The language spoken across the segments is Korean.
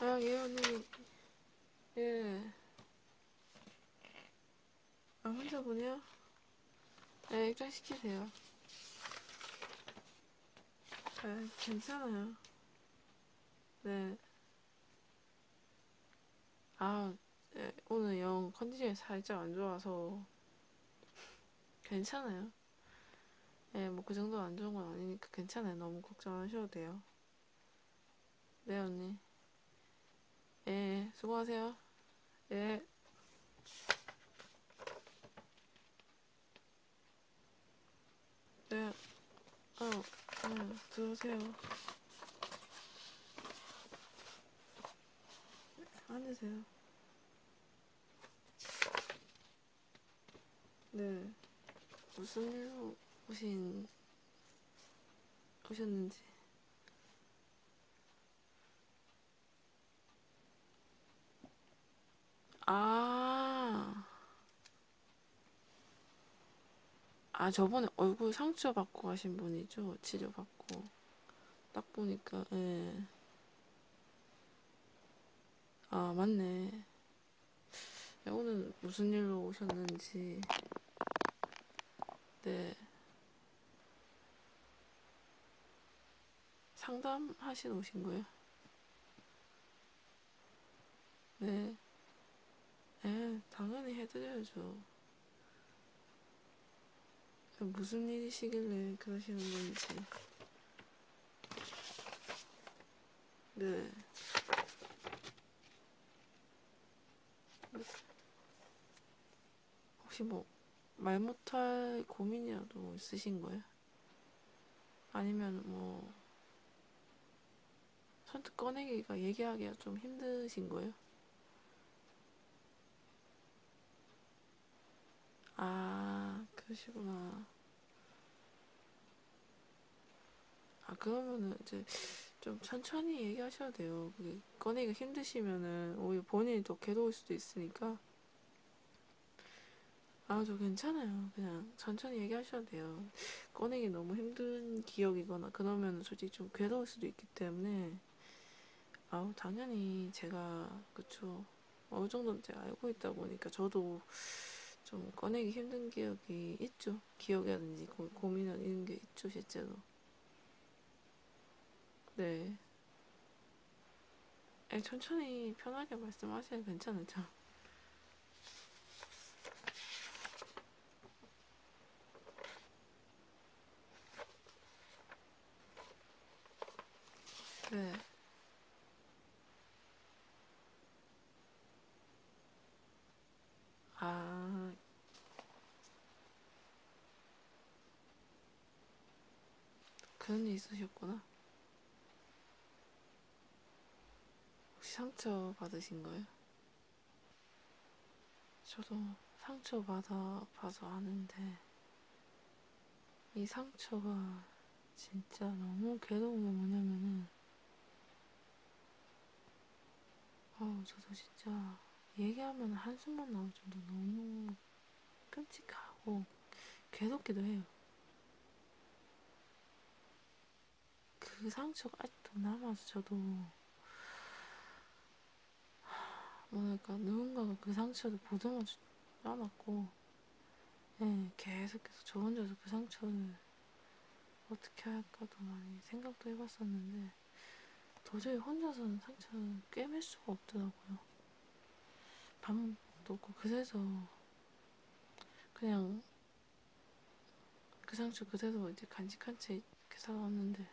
아, 예언이, 예. 아, 혼자 보냐? 예, 아, 일단 시키세요. 아, 괜찮아요. 네. 아, 예, 오늘 영 컨디션이 살짝 안 좋아서. 괜찮아요. 예, 뭐 그 정도 안 좋은 건 아니니까 괜찮아요. 너무 걱정 안 하셔도 돼요. 네, 언니. 예, 예 수고하세요. 예. 네. 어, 네, 들어오세요. 앉으세요. 네. 무슨 일로 오신, 오셨는지. 아. 아, 저번에 얼굴 상처 받고 가신 분이죠? 치료받고. 딱 보니까, 예. 아, 맞네. 네, 오늘 무슨 일로 오셨는지, 네. 상담하신 오신 거예요? 네. 네, 당연히 해드려야죠. 무슨 일이시길래 그러시는 건지. 네. 혹시 뭐, 말 못할 고민이라도 있으신 거예요? 아니면 뭐, 선뜻 꺼내기가 얘기하기가 좀 힘드신 거예요? 아, 그러시구나. 아 그러면은 이제 좀 천천히 얘기하셔야 돼요. 그게 꺼내기가 힘드시면은 오히려 본인이 더 괴로울 수도 있으니까. 아저 괜찮아요. 그냥 천천히 얘기하셔도 돼요. 꺼내기 너무 힘든 기억이거나 그러면 솔직히 좀 괴로울 수도 있기 때문에 아우 당연히 제가 그쵸 어느 정도는 제가 알고 있다 보니까 저도 좀 꺼내기 힘든 기억 적이 있죠. 기억이라든지 고, 고민이나 이런 게 있죠, 실제로. 네. 아니, 천천히 편하게 말씀하셔야 괜찮아요, 참. 네. 아, 그런 일 있으셨구나. 혹시 상처 받으신 거예요? 저도 상처 받아 봐서 아는데, 이 상처가 진짜 너무 괴로운 게 뭐냐면은, 아우, 저도 진짜 얘기하면 한숨만 나올 정도 너무 끔찍하고 괴롭기도 해요. 그 상처가 아직도 남아서 저도, 뭐랄까, 누군가가 그 상처를 보듬어주지 않았고, 예, 계속해서 저 혼자서 그 상처를 어떻게 할까도 많이 생각도 해봤었는데 도저히 혼자서는 상처를 꿰맬 수가 없더라고요. 방법도 없고 그래서 그냥 그 상처 그대로 이제 간직한 채 이렇게 살아왔는데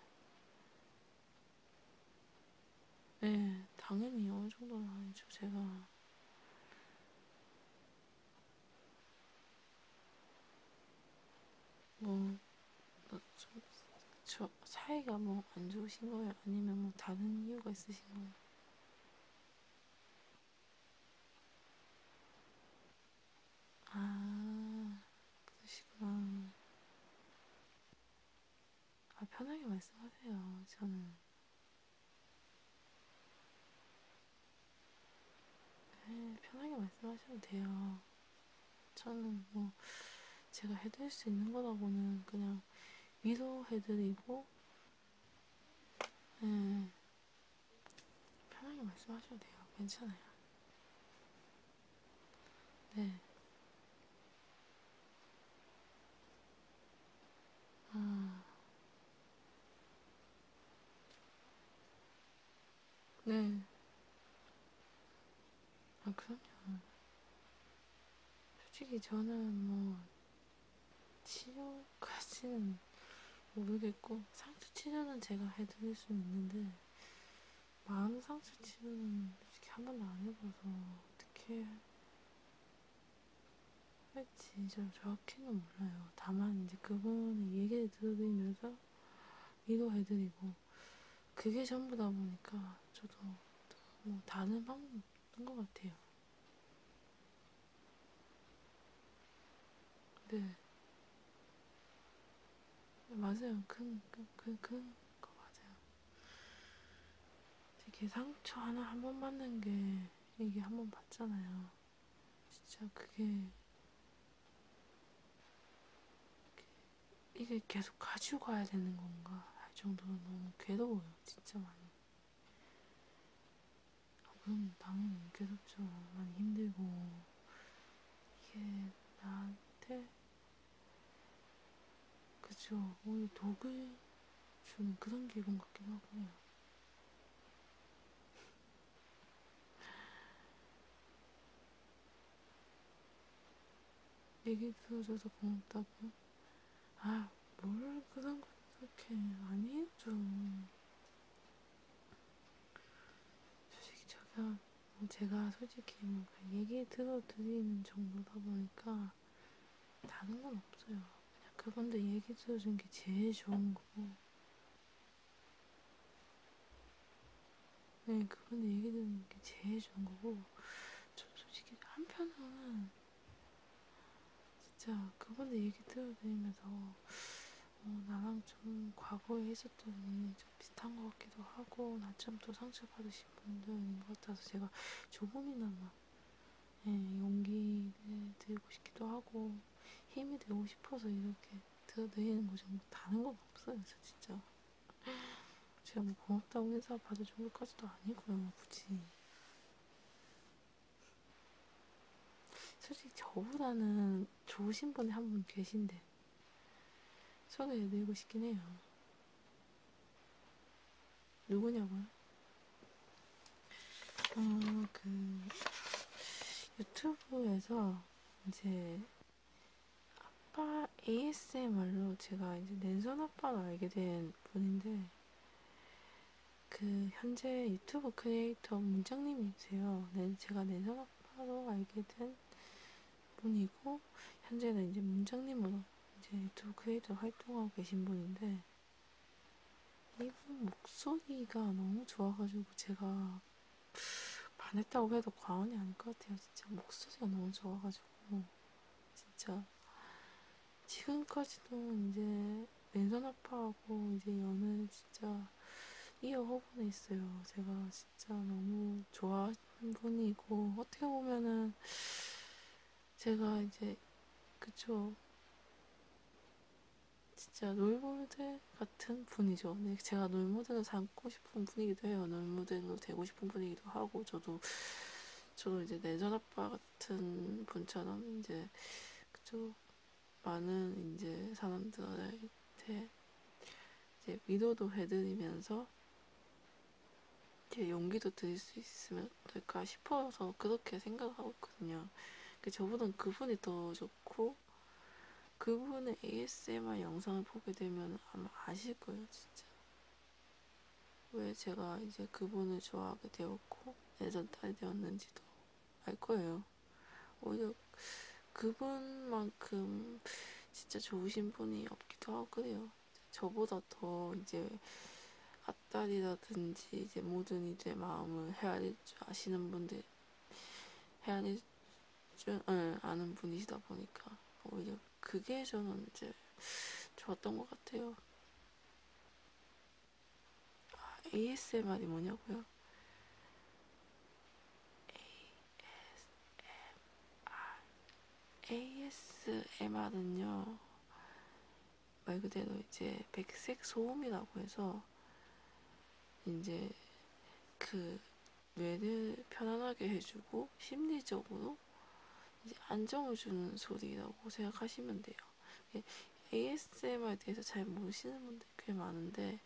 예, 당연히 어느 정도는 아니죠. 제가 뭐, 뭐좀 저, 사이가 뭐 안 좋으신 거예요? 아니면 뭐 다른 이유가 있으신 거예요? 아, 그러시구나. 아, 편하게 말씀하세요. 저는 네, 편하게 말씀하셔도 돼요. 저는 뭐 제가 해드릴 수 있는 거라고는 그냥 위로해드리고 네, 편하게 말씀하셔도 돼요. 괜찮아요. 네. 아, 네. 아, 그럼요. 솔직히 저는 뭐, 치료까지는 모르겠고, 상처 치료는 제가 해드릴 수는 있는데, 마음 상처 치료는 솔직히 한 번도 안 해봐서, 어떻게 할지 네, 좀 정확히는 몰라요. 다만 이제 그분의 얘기를 들으면서 위로해드리고 그게 전부다 보니까 저도 뭐 다른 방법인 것 같아요. 네. 네. 맞아요. 큰, 큰, 큰, 큰, 거 맞아요. 되게 상처 하나 한 번 받는 게 얘기 한번 봤잖아요. 진짜 그게 이게 계속 가지고 가야 되는 건가 할 정도로 너무 괴로워요. 진짜 많이. 아, 물론 당연히 괴롭죠. 많이 힘들고 이게 나한테 그죠 오히려 독을 주는 그런 기분 같긴 하고요. 얘기 들어줘서 고맙다고? 아, 뭘 그런 거 그렇게 아니에요 좀. 솔직히 제가 제가 솔직히 뭐 얘기 들어드리는 정도다 보니까 다른 건 없어요. 그냥 그분들 얘기 들어준 게 제일 좋은 거고. 네, 그분들 얘기 듣는 게 제일 좋은 거고, 좀 솔직히 한편으로는 진짜 그분들 얘기 들어드리면서 어, 나랑 좀 과거에 있었던 일이 좀 비슷한 것 같기도 하고, 나참 또 상처받으신 분들인 것 같아서 제가 조금이나마 네, 예, 용기를 드리고 싶기도 하고 힘이 되고 싶어서 이렇게 드리는 거죠. 뭐 다른 건 없어요, 저 진짜. 제가 뭐 고맙다고 인사 받을 정도까지도 아니고요, 굳이. 솔직히 저보다는 좋으신 분이 한 분 계신데 소개해드리고 싶긴 해요. 누구냐고요? 어, 그, 유튜브에서 이제 아빠 ASMR로 제가 이제 낸선 아빠를 알게 된 분인데, 그, 현재 유튜브 크리에이터 문장님이세요. 네, 제가 낸선 아빠로 알게 된 분이고, 현재는 이제 문장님으로 이제 유튜브 크리에이터 활동하고 계신 분인데, 이분 목소리가 너무 좋아가지고 제가 반했다고 해도 과언이 아닐 것 같아요. 진짜 목소리가 너무 좋아가지고 진짜 지금까지도 이제 왼손 아파하고 이제 연을 진짜 이어허분에 있어요. 제가 진짜 너무 좋아하는 분이고 어떻게 보면은 제가 이제 그쵸 진짜 롤모델 같은 분이죠. 네, 제가 롤모델로 삼고 싶은 분이기도 해요. 롤모델로 되고 싶은 분이기도 하고 저도 저도 이제 내전 아빠 같은 분처럼 이제 그쵸 많은 이제 사람들한테 이제 위로도 해드리면서 이제 용기도 드릴 수 있으면 않을까 싶어서 그렇게 생각하고 있거든요. 저보단 그분이 더 좋고 그분의 ASMR 영상을 보게 되면 아마 아실 거예요, 진짜. 왜 제가 이제 그분을 좋아하게 되었고 예전 딸이 되었는지도 알 거예요. 오히려 그분만큼 진짜 좋으신 분이 없기도 하고요. 저보다 더 이제 앞다리라든지 이제 모든 이제 마음을 헤아릴 줄 아시는 분들 헤아릴 줄 응, 예, 아는 분이시다 보니까 오히려 그게 저는 이제 좋았던 것 같아요. 아, ASMR이 뭐냐고요? ASMR ASMR은요. 말 그대로 이제 백색 소음이라고 해서 이제 그 뇌를 편안하게 해주고 심리적으로 이제 안정을 주는 소리라고 생각하시면 돼요. ASMR에 예, 대해서 잘 모르시는 분들 꽤 많은데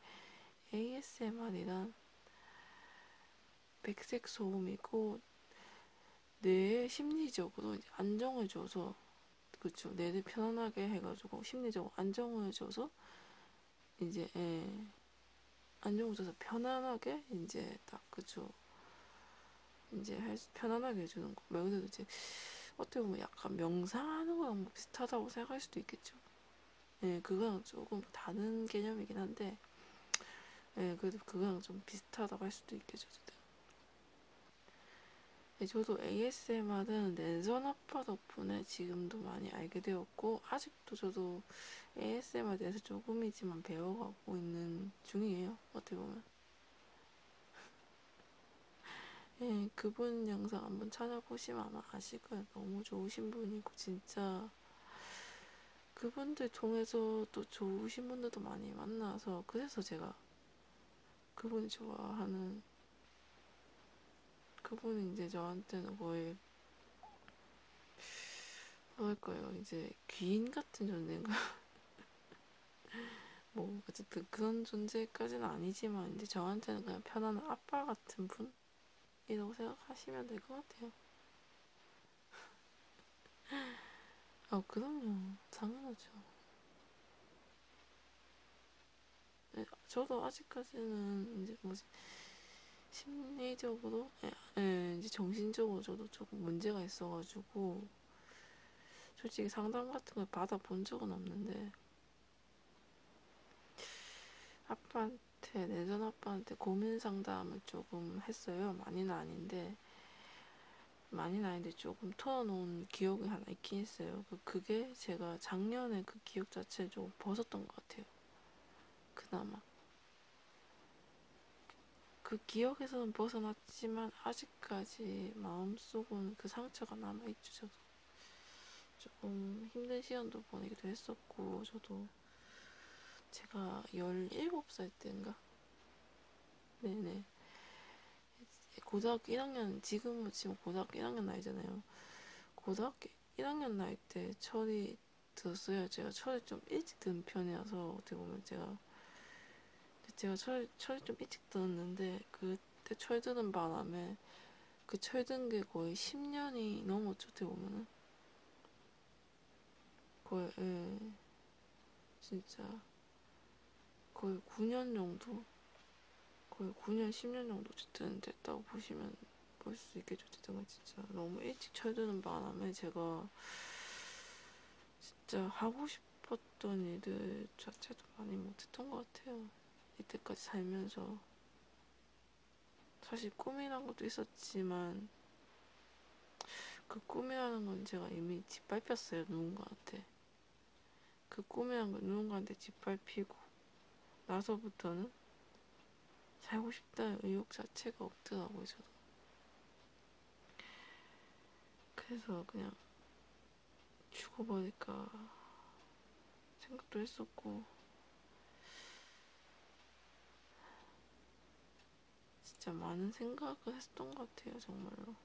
ASMR이란 백색 소음이고 뇌에 심리적으로 안정을 줘서 그쵸 뇌를 편안하게 해가지고 심리적으로 안정을 줘서 이제 예, 안정을 줘서 편안하게 이제 딱 그쵸 이제 할 수, 편안하게 해주는 거. 명세도 이제 어떻게 보면 약간 명상하는 거랑 뭐 비슷하다고 생각할 수도 있겠죠. 예, 그거랑 조금 다른 개념이긴 한데, 예, 그래도 그거랑 좀 비슷하다고 할 수도 있겠죠. 어쨌든. 네, 저도 ASMR은 랜선 아빠 덕분에 지금도 많이 알게 되었고 아직도 저도 ASMR에 대해서 조금이지만 배워가고 있는 중이에요. 어떻게 보면. 예, 그분 영상 한번 찾아보시면 아마 아실 거예요. 너무 좋으신 분이고 진짜 그분들 통해서 또 좋으신 분들도 많이 만나서 그래서 제가 그분이 좋아하는 그분이 이제 저한테는 거의 뭐랄까요 이제 귀인 같은 존재인가 뭐 어쨌든 그런 존재까지는 아니지만 이제 저한테는 그냥 편안한 아빠 같은 분이라고 생각하시면 될 것 같아요. 아, 그럼요. 당연하죠. 네, 저도 아직까지는 이제 뭐지 심리적으로, 네, 네, 이제 정신적으로 저도 조금 문제가 있어가지고 솔직히 상담 같은 걸 받아본 적은 없는데 아빠한테 내전 아빠한테 고민 상담을 조금 했어요. 많이는 아닌데 많이는 아닌데 조금 털어놓은 기억이 하나 있긴 있어요. 그, 그게 제가 작년에 그 기억 자체를 조금 벗었던 것 같아요. 그나마. 그 기억에서는 벗어났지만 아직까지 마음속은 그 상처가 남아있죠. 저도. 조금 힘든 시간도 보내기도 했었고 저도 제가 17살 때인가 네네. 고등학교 1학년, 지금 치면 고등학교 1학년 나이잖아요. 고등학교 1학년 나이 때 철이 들었어요. 제가 철이 좀 일찍 든 편이라서 어떻게 보면 제가 제가 철, 철이 좀 일찍 들었는데 그때 철 드는 바람에 그 철 든 게 거의 10년이 넘었죠. 어떻게 보면은 거의 예. 진짜 거의 9년 정도, 거의 9년, 10년 정도 어쨌든 됐다고 보시면 볼 수 있겠죠. 어쨌든 진짜 너무 일찍 철드는 바람에 제가 진짜 하고 싶었던 일들 자체도 많이 못했던 것 같아요. 이때까지 살면서. 사실 꿈이란 것도 있었지만, 그 꿈이라는 건 제가 이미 짓밟혔어요 누군가한테 그 꿈이라는 건 누군가한테 짓밟히고 나서부터는 살고 싶다는 의욕 자체가 없더라고요 저도 그래서 그냥 죽어버릴까 생각도 했었고 진짜 많은 생각을 했던 것 같아요, 정말로.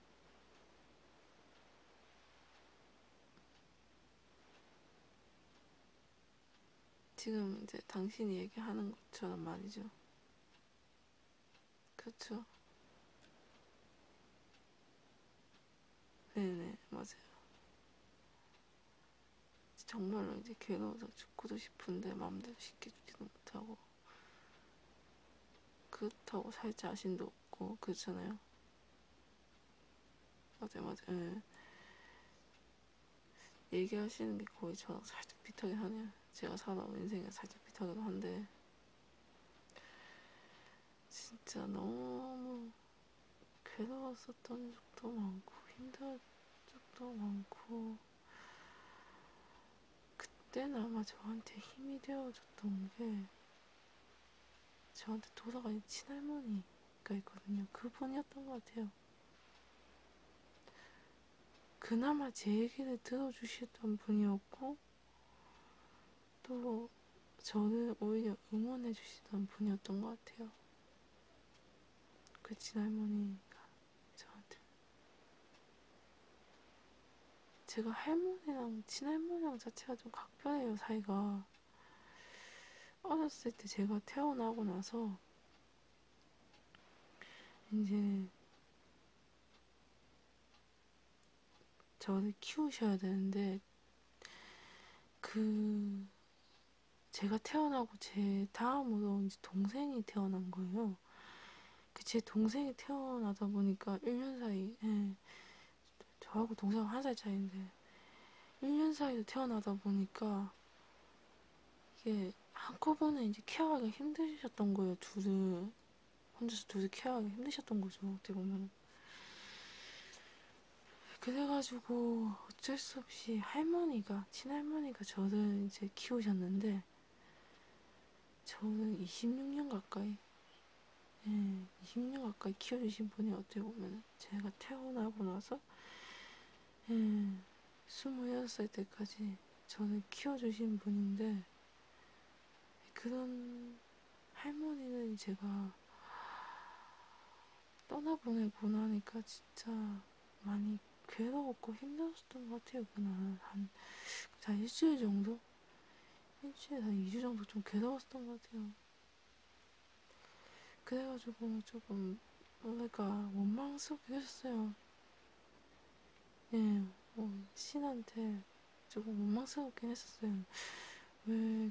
지금 이제 당신이 얘기하는 것처럼 말이죠. 그렇죠. 네네, 맞아요. 정말로 이제 괴로워서 죽고도 싶은데 마음대로 쉽게 죽지도 못하고 그렇다고 살 자신도 없고 그렇잖아요. 맞아요, 맞아요. 예. 얘기하시는 게 거의 저랑 살짝 비슷하긴 하네요. 제가 살아온 인생에 살짝 비슷하기도 한데 진짜 너무 괴로웠었던 적도 많고 힘들 적도 많고 그때는 아마 저한테 힘이 되어줬던 게 저한테 돌아가신 친할머니가 있거든요. 그분이었던 것 같아요. 그나마 제 얘기를 들어주시던 분이었고 또 저를 오히려 응원해주시던 분이었던 것 같아요. 그 친할머니가 저한테 제가 할머니랑 친할머니랑 자체가 좀 각별해요 사이가 어렸을 때 제가 태어나고 나서 이제 저를 키우셔야 되는데 그 제가 태어나고 제 다음으로 이제 동생이 태어난 거예요. 그 제 동생이 태어나다 보니까 1년 사이, 예. 저하고 동생 한살 차이인데, 1년 사이로 태어나다 보니까, 이게 한꺼번에 이제 케어하기 힘드셨던 거예요, 둘을. 혼자서 둘이 케어하기 힘드셨던 거죠, 어떻게 보면. 그래가지고 어쩔 수 없이 할머니가, 친할머니가 저를 이제 키우셨는데, 저는 26년 가까이, 네, 예, 26년 가까이 키워주신 분이 어떻게 보면 제가 태어나고 나서 네, 예, 26살 때까지 저는 키워주신 분인데 그런 할머니는 제가 떠나보내고 나니까 진짜 많이 괴로웠고 힘들었던 것 같아요. 그날 한, 한 일주일 정도? 일주일, 한 2주 정도 좀 괴로웠던 것 같아요. 그래가지고 조금, 뭐랄까, 원망스럽게 했어요. 예, 뭐, 신한테 조금 원망스럽긴 했었어요. 왜, 왜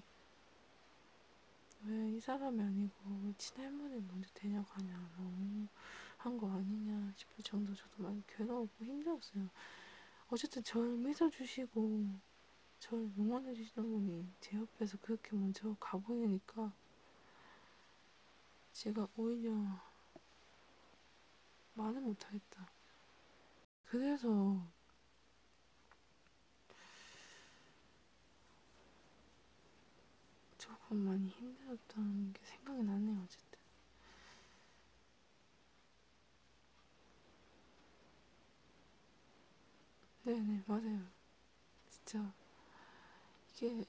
이 사람이 아니고 친할머니 먼저 데려가냐. 너무 한거 아니냐 싶을 정도 저도 많이 괴로웠고 힘들었어요. 어쨌든 절 믿어주시고 절 응원해주시는 분이 제 옆에서 그렇게 먼저 가보이니까 제가 오히려 말을 못하겠다. 그래서 조금 많이 힘들었던 게 생각이 나네요. 어쨌든. 어쨌든. 네네, 맞아요. 진짜, 이게,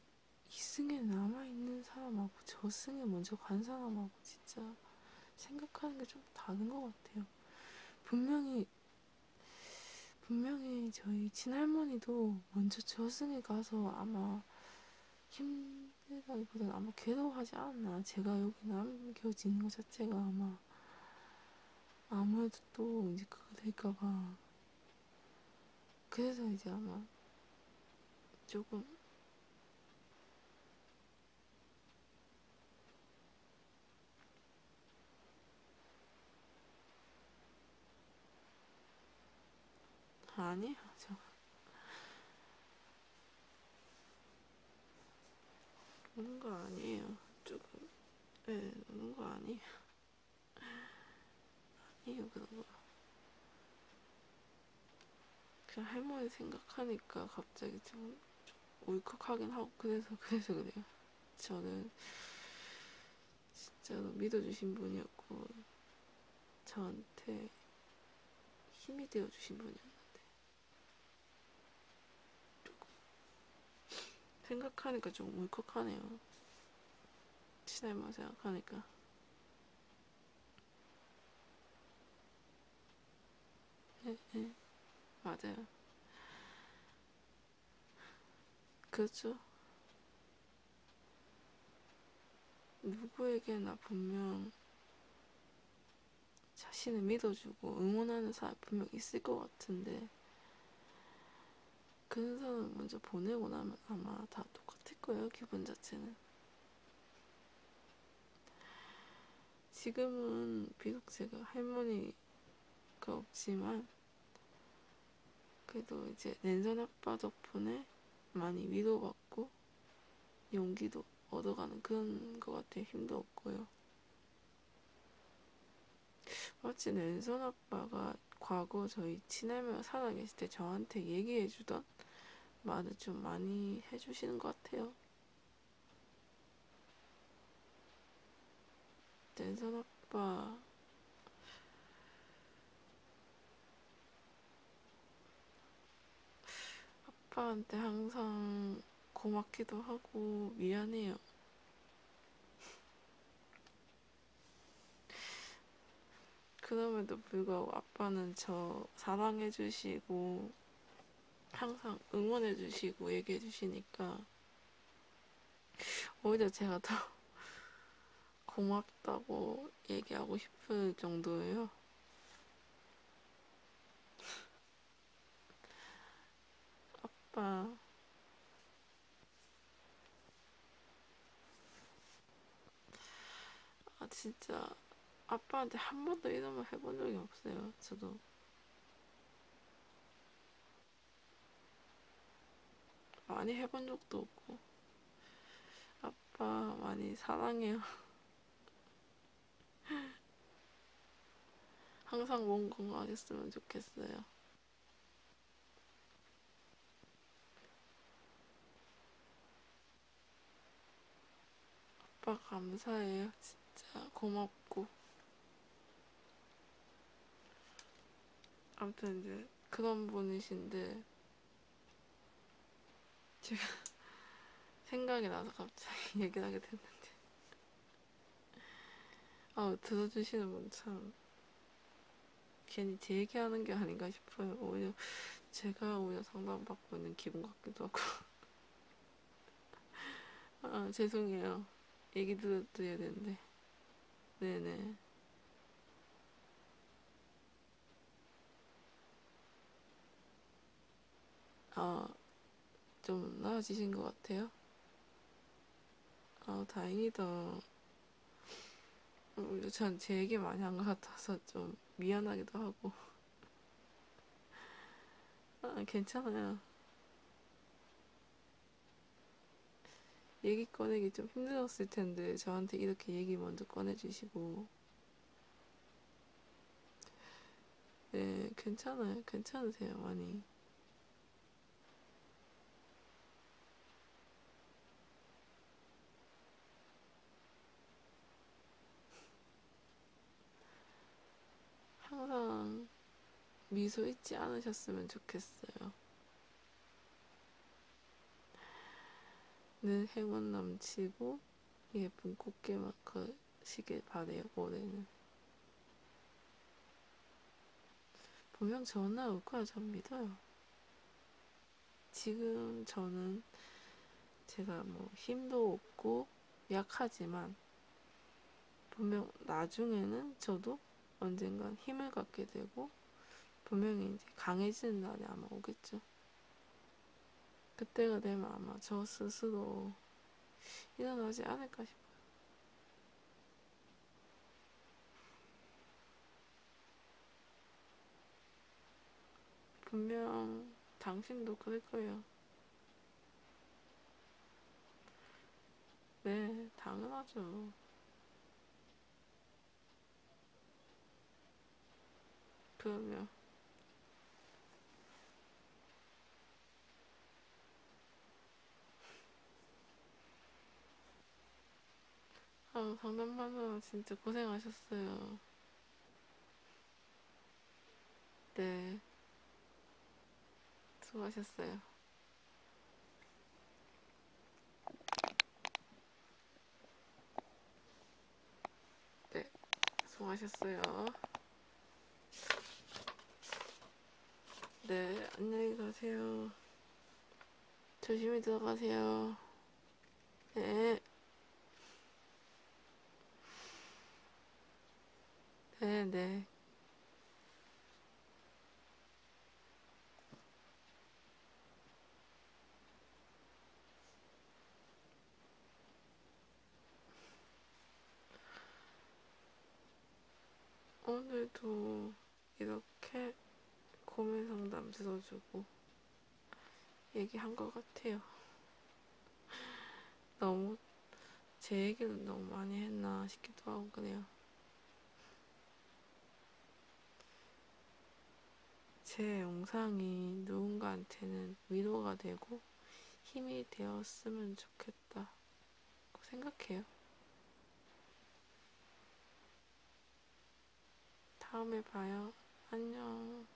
이승에 남아있는 사람하고 저승에 먼저 간 사람하고 진짜 생각하는 게 좀 다른 것 같아요. 분명히, 분명히 저희 친할머니도 먼저 저승에 가서 아마 힘들다기보다는 아마 괴로워하지 않나. 제가 여기 남겨지는 것 자체가 아마 아무래도 또 이제 그거 될까봐. 그래서 이제 아마 조금 아니요, 저. 노는 거 아니에요. 조금, 예, 네, 노는 거 아니에요. 아니에요, 그런 거. 그냥 할머니 생각하니까 갑자기 좀, 좀 울컥하긴 하고, 그래서, 그래서 그래요. 저는, 진짜로 믿어주신 분이었고 저한테 힘이 되어주신 분이었는데 조금 생각하니까 좀 울컥하네요. 친할만 생각하니까 네, 네. 맞아요. 그렇죠. 누구에게나 분명 자신을 믿어주고 응원하는 사람이 분명 있을 것 같은데 그 사람을 먼저 보내고 나면 아마 다 똑같을 거예요 기분 자체는 지금은 비록 제가 할머니가 없지만 그래도 이제 랜선 아빠 덕분에 많이 위로받고 용기도 얻어가는 그런 것 같아요. 힘도 없고요. 마치 랜선 아빠가 과거 저희 친할매가 살아계실 때 저한테 얘기해주던 말을 좀 많이 해주시는 것 같아요. 랜선 아빠 아빠한테 항상 고맙기도 하고 미안해요. 그럼에도 불구하고 아빠는 저 사랑해주시고 항상 응원해주시고 얘기해주시니까 오히려 제가 더 고맙다고 얘기하고 싶을 정도예요. 아빠. 아, 진짜. 아빠한테 한 번도 이런 말 해본 적이 없어요. 저도. 많이 해본 적도 없고. 아빠 많이 사랑해요. 항상 몸 건강하겠으면 좋겠어요. 아빠 감사해요. 진짜 고맙고. 아무튼 이제 그런 분이신데 지금 생각이 나서 갑자기 얘기를 하게 됐는데 아 들어주시는 분 참 괜히 제 얘기하는 게 아닌가 싶어요 오히려 제가 오히려 상담받고 있는 기분 같기도 하고 아 죄송해요 얘기 들어드려야 되는데 네네 아, 좀 나아지신 것 같아요? 아, 다행이다. 어, 전제 얘기 많이 한 것 같아서 좀 미안하기도 하고. 아, 괜찮아요. 얘기 꺼내기 좀 힘들었을 텐데 저한테 이렇게 얘기 먼저 꺼내주시고 네 괜찮아요 괜찮으세요 많이 항상 미소 잊지 않으셨으면 좋겠어요. 늘 네, 행운 넘치고 예쁜 꽃게 막하시길 바래요 올해는 분명 전화 올 거야 전 믿어요 지금 저는 제가 뭐 힘도 없고 약하지만 분명 나중에는 저도 언젠간 힘을 갖게 되고 분명히 이제 강해지는 날이 아마 오겠죠. 그때가 되면 아마 저 스스로 일어나지 않을까 싶어요. 분명 당신도 그럴 거예요. 네, 당연하죠. 그러면 아 상담받느라 진짜 고생하셨어요 네 수고하셨어요 네, 수고하셨어요. 네, 안녕히 가세요. 조심히 들어가세요. 네. 네, 네. 오늘도 이렇게 고민 상담 들어주고 얘기한 것 같아요. 너무 제 얘기는 너무 많이 했나 싶기도 하고 그래요. 제 영상이 누군가한테는 위로가 되고 힘이 되었으면 좋겠다 생각해요. 다음에 봐요. 안녕.